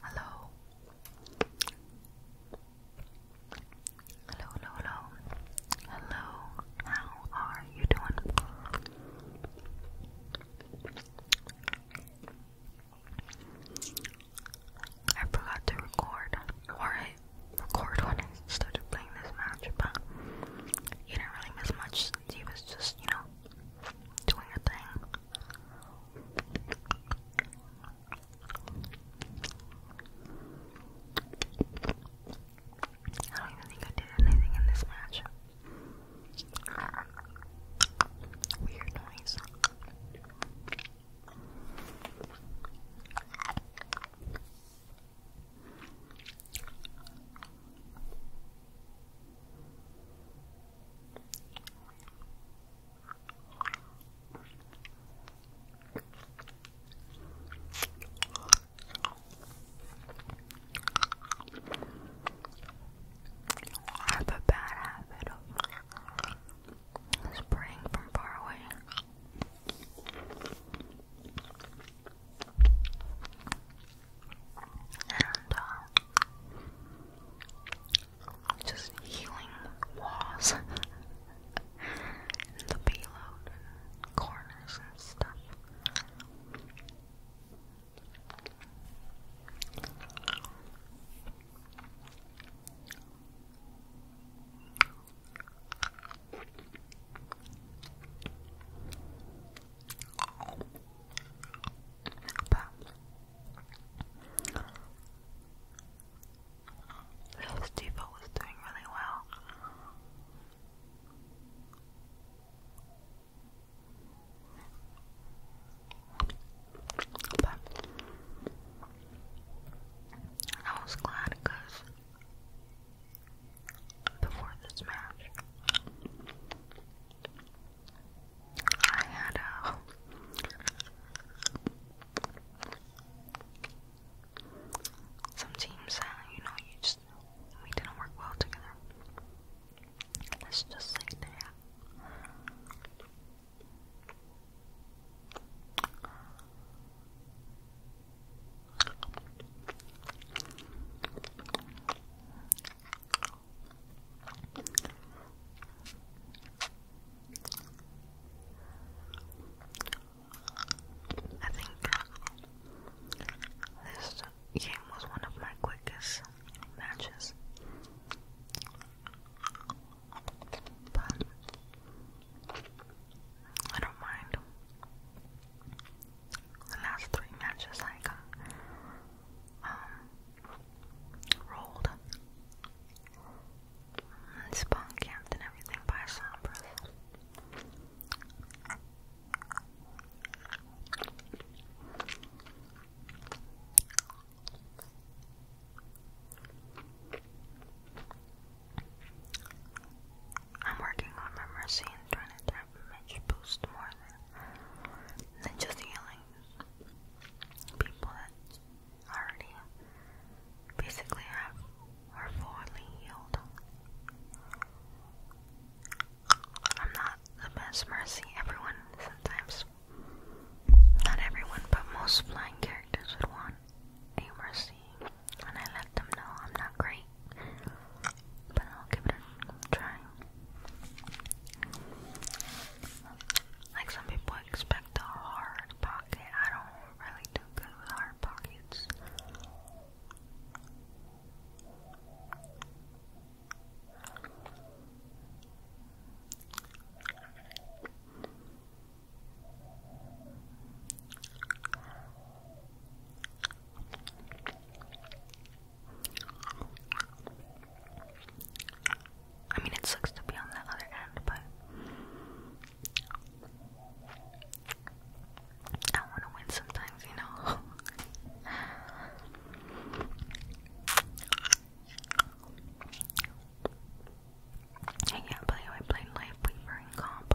Hello. Hello, hello, Hello. How are you doing? I forgot to record, or I record when I started playing this match, but he didn't really miss much he was just, you know, doing a thing. I don't even think I did anything in this match. Weird noise. I have a bad habit of spraying from far away. And, uh, just healing walls and the payload corners and stuff. Little Steve was doing really well. But I was glad because before this match, I had a. Some teams that, you know, you just. We didn't work well together. Let's just say that. I think this game was one of my quickest matches. But I don't mind. The last three matches I got um, rolled and spawn and everything by Sombras. I'm working on my mercy and trying to tap image boost more than, just healing people that already basically have are fully healed. I'm not the best mercy. Everyone sometimes not everyone, but most flying characters would want a mercy, and I let them know I'm not great, but I'll give it a try. Like some people expect a hard pocket, I don't really do good with hard pockets. I mean, it sucks to be on the other end, but I want to win sometimes, you know. And yeah, but anyway, playing Life Weaver and Comp.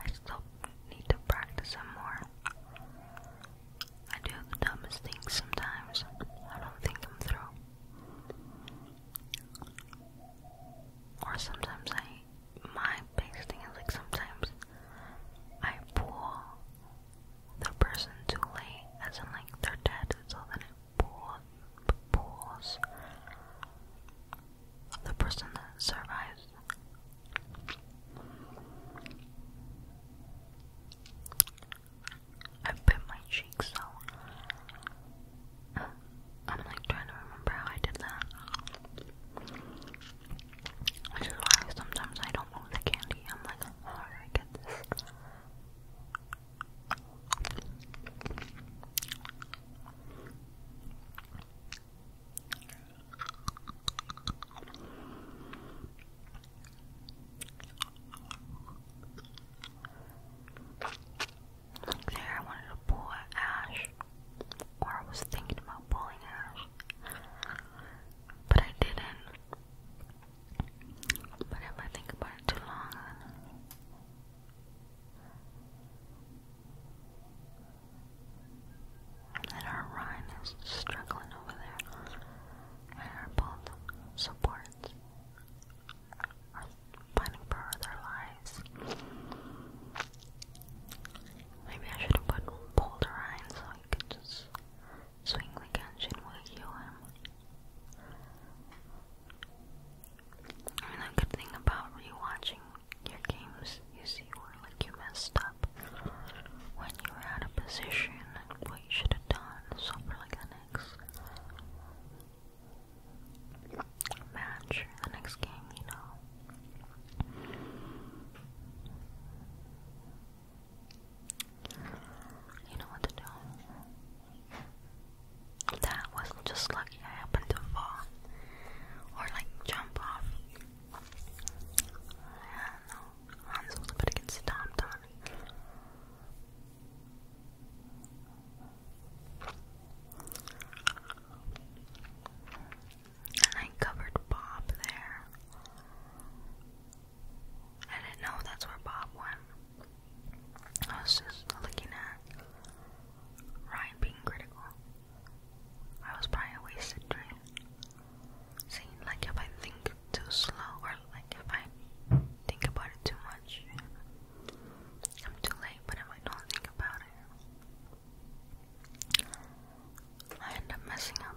I still need to practice some more. I do the dumbest things sometimes. I don't think I'm through. Or sometimes I, my biggest thing is like sometimes I pull the person too late, as in like they're dead, so the it pools. The person that survives. I bit my cheek, so I'm like trying to remember how I did that. Which is why sometimes I don't move the candy. I'm like, oh, how do I get this? There, I wanted to pull ash, or I was thinking about pulling ash, but I didn't. But if I think about it too long, and our Rhine is struggling over there, and our both supports are fighting for their lives. Maybe I should have put Boulder Rhine so he could just swing the gun and heal him. I mean, a good thing about rewatching your games, you see where like you messed up when you were out of position and what you should have done. So for like the next match the next game, you know. You know what to do. That was just lucky I happened to fall. Or like jump off. Yeah, no. Hans was about to get stomped on. And I covered Bob there. I didn't know that's where Bob went. I was just looking at Ryan being critical. I was probably a wasted dream. See, like if I think too slow or like if I think about it too much, I'm too late. But if I don't think about it, I end up messing up.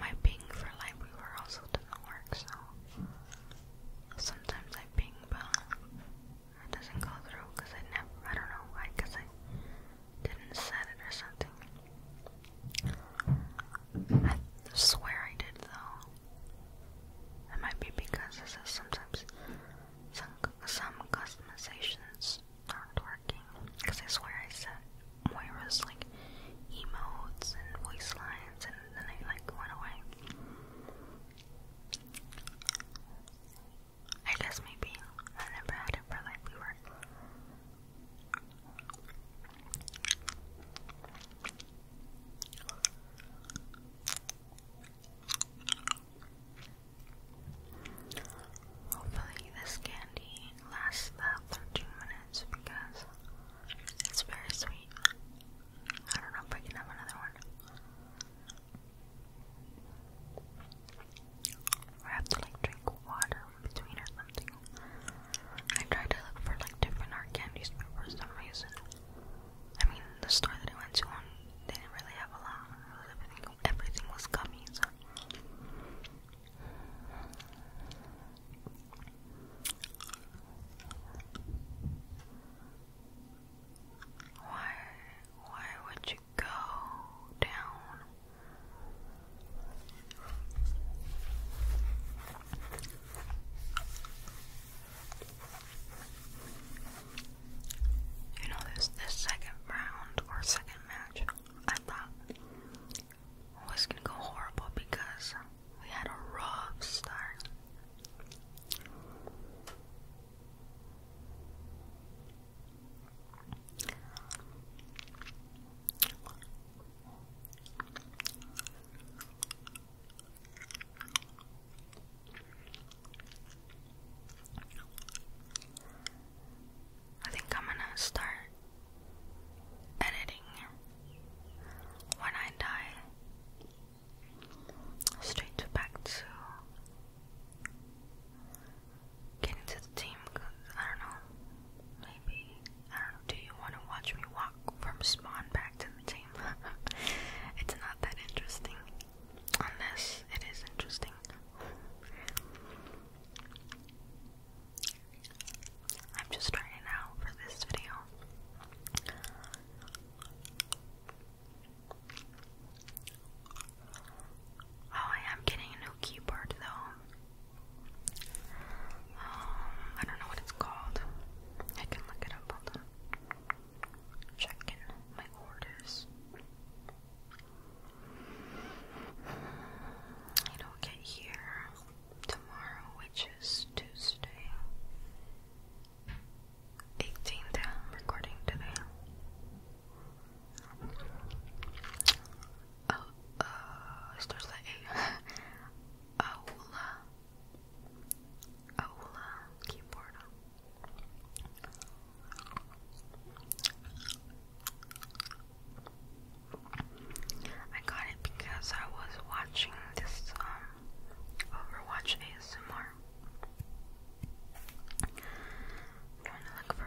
My ping for LiveWeaver also doesn't work, so sometimes I ping, but it doesn't go through because I never, I don't know why, because I didn't set it or something. I swear I did, though. It might be because this is sometimes some, some customizations aren't working because I swear I set Moira's like emotes and voice lines and then they like went away. I guess maybe I never had it like we were. Hopefully, this candy lasts about 13 minutes because it's very sweet. I don't know if I can have another one. I have to like drink water in between or something. I tried to look for like different art candies, for some reason I mean, the store that I went to on um, didn't really have a lot. Everything, everything was gummies. Why, why would you go down? You know, this this second round or second match, I thought was gonna go horrible because we had a rough start. I think I'm gonna start editing when I die. Straight back to getting to the team because I don't know. Maybe I don't know. Do you want to watch me walk from spawn back to the team, it's not that interesting. Unless it is interesting. I'm just starting out for this video. Oh, I am getting a new keyboard though. Um, I don't know what it's called. I can look it up. Hold Check in my orders. It'll get here tomorrow, which is Tuesday. 18th, recording today. Oh, uh, it starts at Ola oh, uh, keyboard. I got it because I was watching this um Overwatch ASMR. trying to look for